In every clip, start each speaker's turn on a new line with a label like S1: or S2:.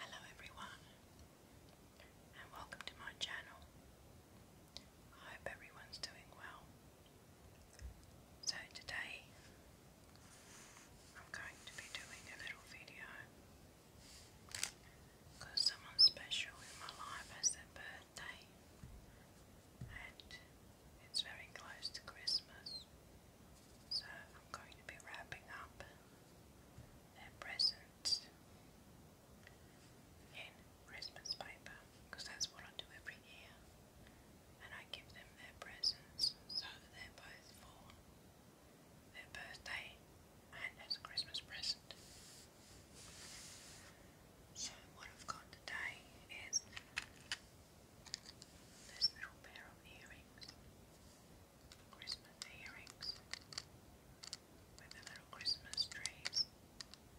S1: Hello everyone and welcome to my channel. I hope everyone's doing well. So today I'm going to be doing a little video because someone special in my life has their birthday and it's very close to Christmas. So I'm going to be wrapping up their presents in Christmas paper because that's what I do every year. And I give them their presents so that they're both for their birthday and as a Christmas present. So what I've got today is this little pair of earrings, Christmas earrings, with the little Christmas trees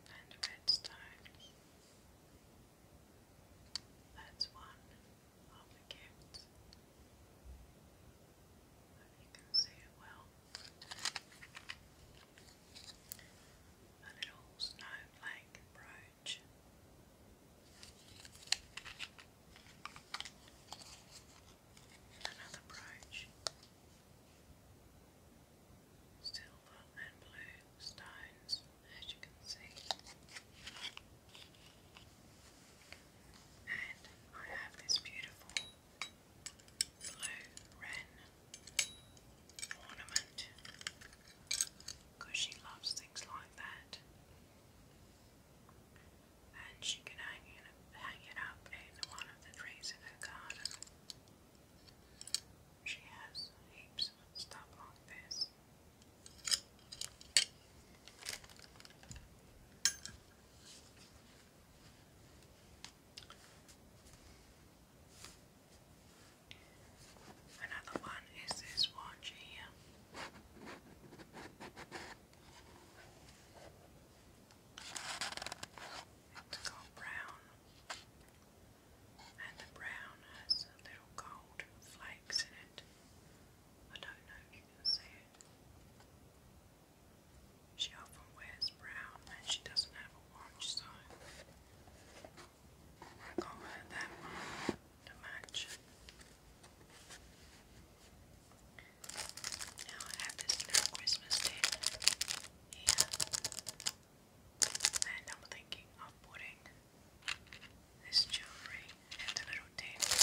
S1: and red stones. That's one of the gifts. Hope you can see it well. A little snowflake brooch much. Another brooch. Silver and blue stones, as you can see. And I have this beautiful blue wren ornament because she loves things like that. And she can hang it, hang it up in one of the trees in her garden. She has heaps of stuff like this. Another one is this watch here. It's got brown, and the brown has little gold flakes in it. I don't know if you can see it. She often wears brown and she doesn't have a watch, so I'm gonna that one Now I have this little Christmas table and I'm thinking of putting this jewelry and the little table.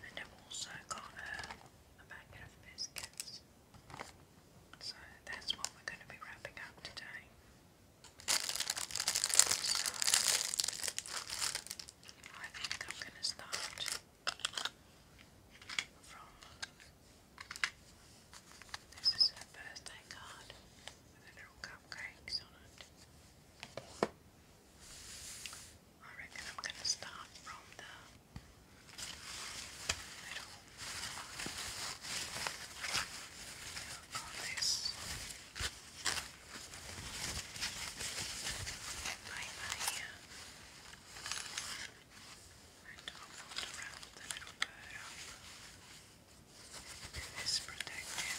S1: And I've also got a, a of biscuits. So that's what we're going to be wrapping up today. I think I'm going to start from. This is her birthday card with little cupcakes on it. I reckon I'm going to start from the middle. Oh, nice. Bye bye. And I'll around a little bit up. It is protected.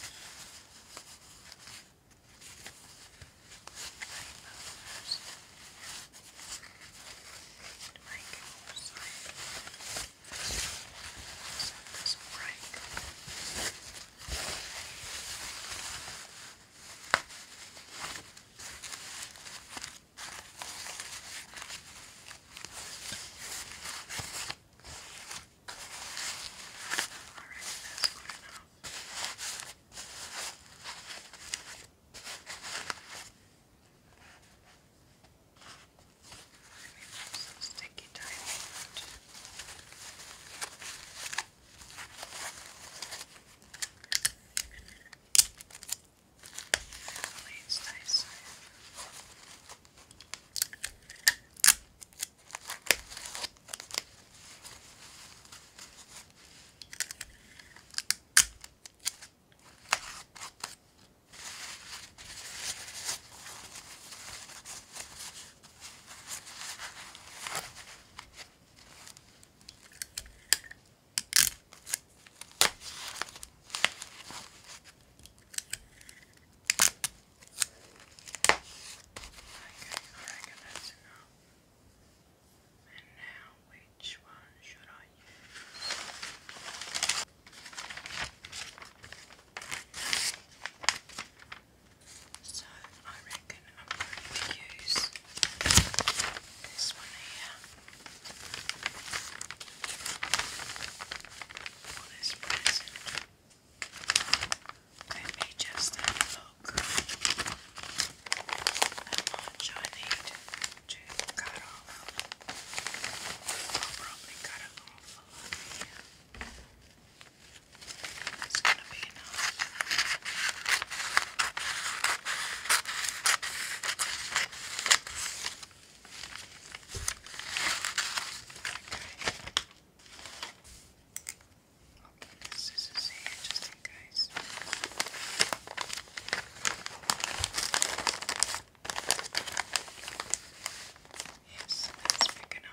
S1: My first. Make it more Set this right. All right, that's good enough. All some sticky tape on it. Hopefully it stays safe. There goodness. And now, which one should I use? So I reckon I'm going to use this one here. For this present. Let me just look how much I need to cut off. I'll probably cut it off it's gonna be enough. Okay. Open the scissors here Yes, that's big enough.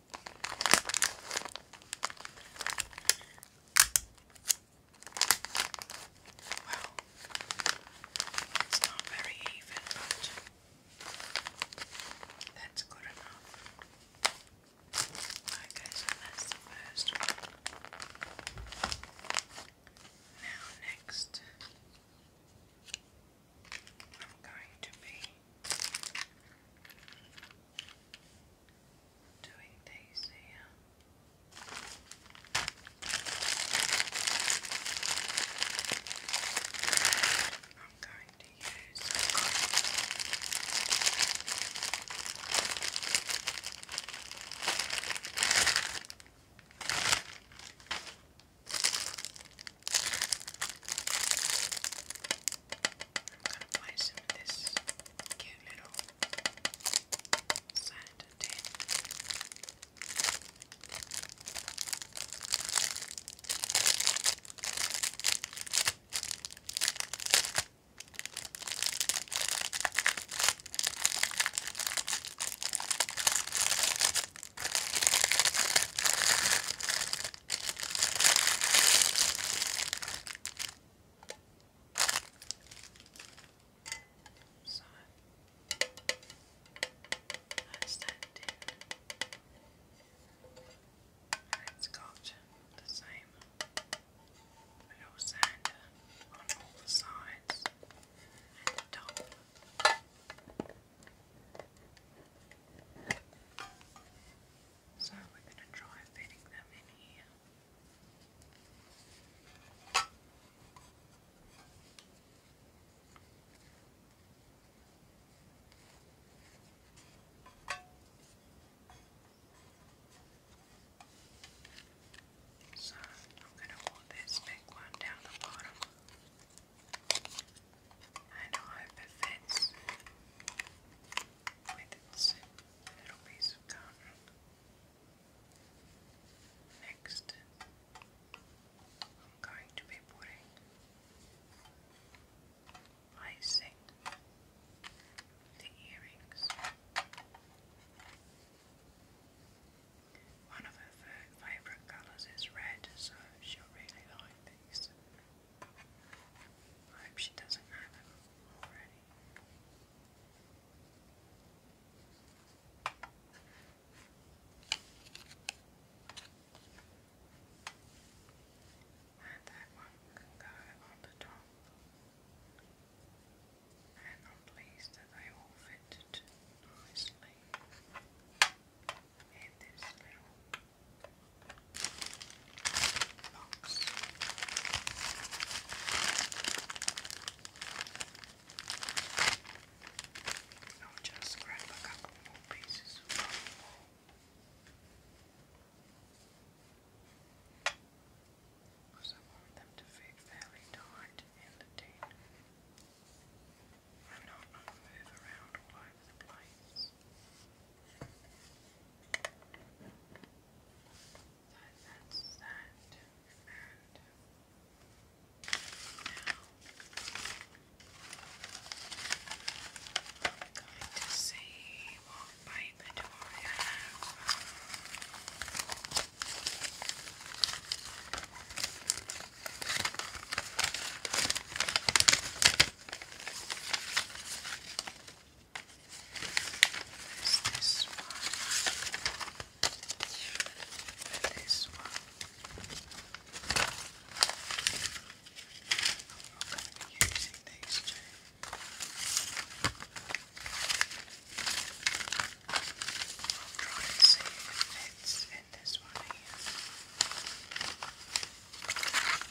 S1: Well, it's not very even, but that's good enough. Okay, so that's the first one. Now, next, I'm going to be doing these here. I'm going to use gonna apply some of this cute little sand tin. So that's that dude. That's got the same little sand on all the sides and the top. So we're going to try fitting them in here. So I'm going to hold this big one down the bottom. I know it fits with a little piece of cotton. Next, I'm going to be putting icing the earrings. One of her favorite colors is red, so she'll really like these. I hope she doesn't have it already. And that one can go on the top. I'm pleased that they all fit nicely in this little box. I'll just grab a couple more pieces I want them to fit fairly tight in the tin and not move around all over the place. that's that. And now I'm going to see what paper do I have. There's this one. And this one. I'm going to be using these two. I'll try and see if it fits in this one here. Usually I want got it off.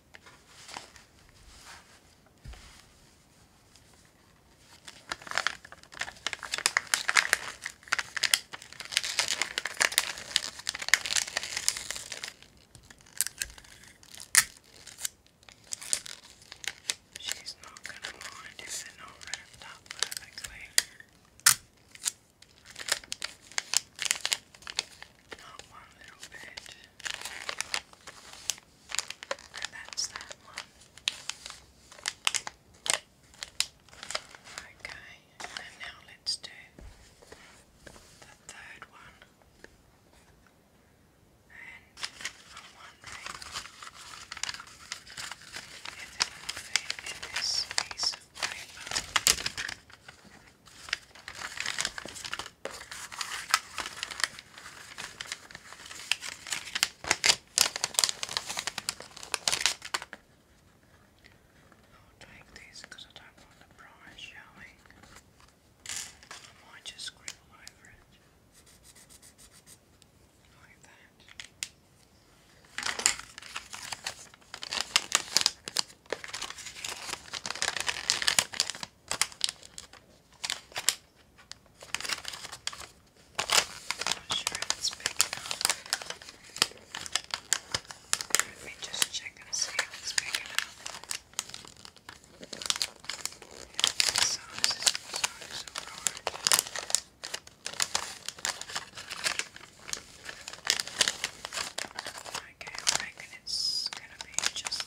S1: She's not going to mind if they not wrapped up perfectly. Not one little bit. that's that one. Okay, and now let's do the third one. And I'm wondering in this piece of paper. We'll take these because I don't want the prize showing. I might just scribble over it. Like that not sure Let me just check and see if it's big enough. so this is sorry, so hard. Okay, I reckon it's gonna be just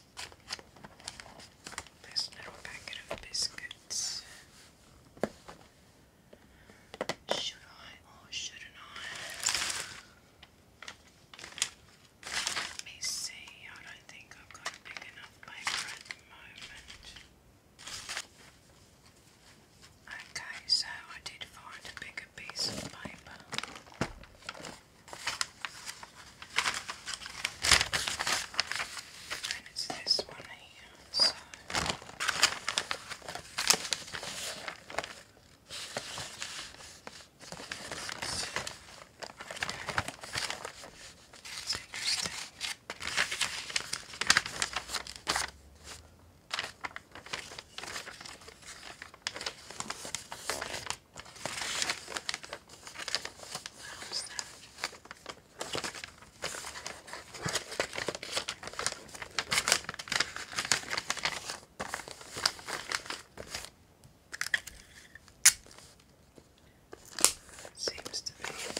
S1: This little packet of biscuits. Should I or shouldn't I? Let me see. I don't think I've got big enough paper at the moment. Okay, so I did find a bigger piece of paper. And it's this one here, so this. Okay. That's interesting. Okay. What else there? Seems to be a lot.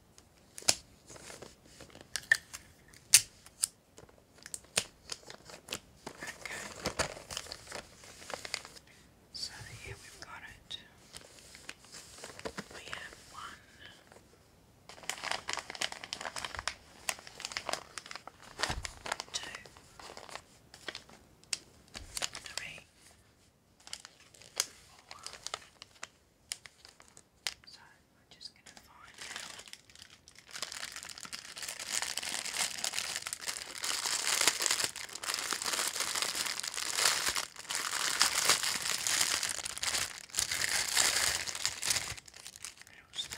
S1: Okay. So here we've got it. We have one. So we're just going to find out. Little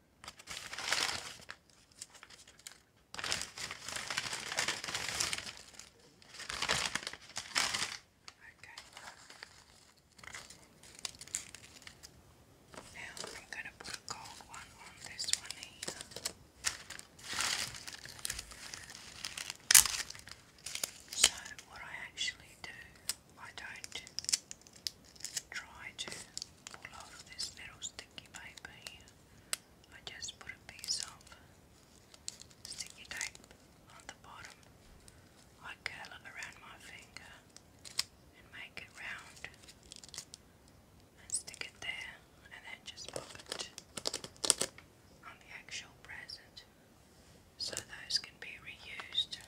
S1: Okay. Now I'm gonna put gold one on this one here. So what I actually do I don't try to pull off this little sticky paper here. I just put a piece of sticky tape on the bottom. I curl it around my finger and make it round and stick it there and then just pop it on the actual present so those can be reused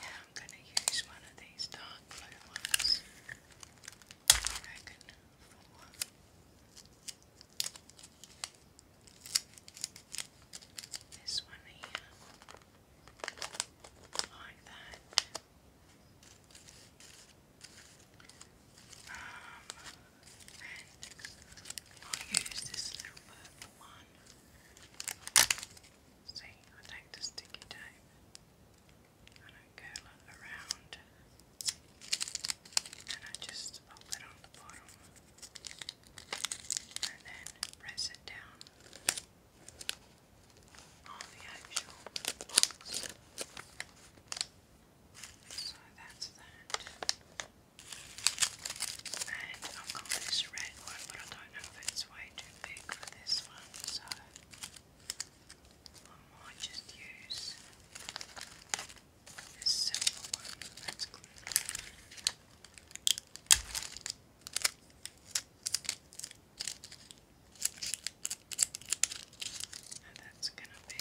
S1: I'm gonna use one of these dark blue ones. I reckon for This one here. Like that. Um, and I'll use this little purple one on. See, I take the sticky tape and I curl it around and I just pop on the bottom and then press it down on the actual box. So that's that. And I've got this red one, but I don't know if it's way too big for this one, so I might just use this silver one. That's good. And that's going to be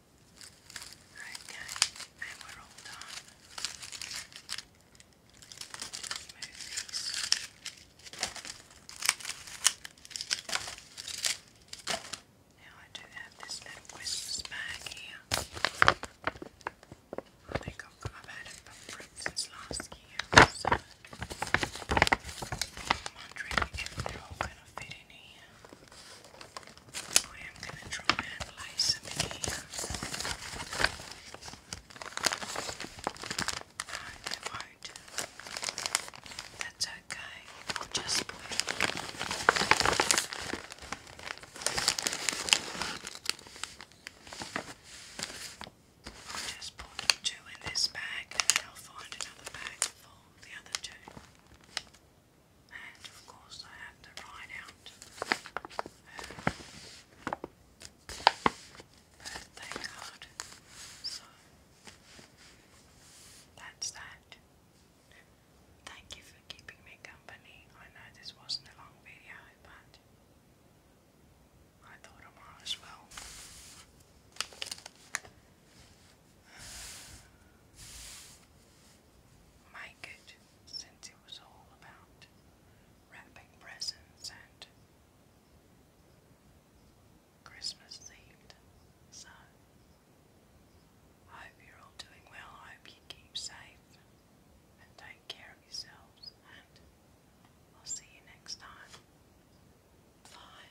S1: Alright guys, and we're all done. Just move these. Now I do have this little Christmas bag here. I think I've, got, I've had last year, so I'm if they're all going to fit in here. I am going to try and lay some here. No, they won't. That's okay. I'll just put two in this bag and I'll find another bag for the other two and of course I have to write out uh, birthday card. So that's that. Thank you for keeping me company. I know this wasn't a long video, but I thought I might as well make it since it was all about wrapping presents and Christmas Eve, So, I hope you're all doing well. I hope you keep safe and take care of yourselves. And I'll see you next time. Bye.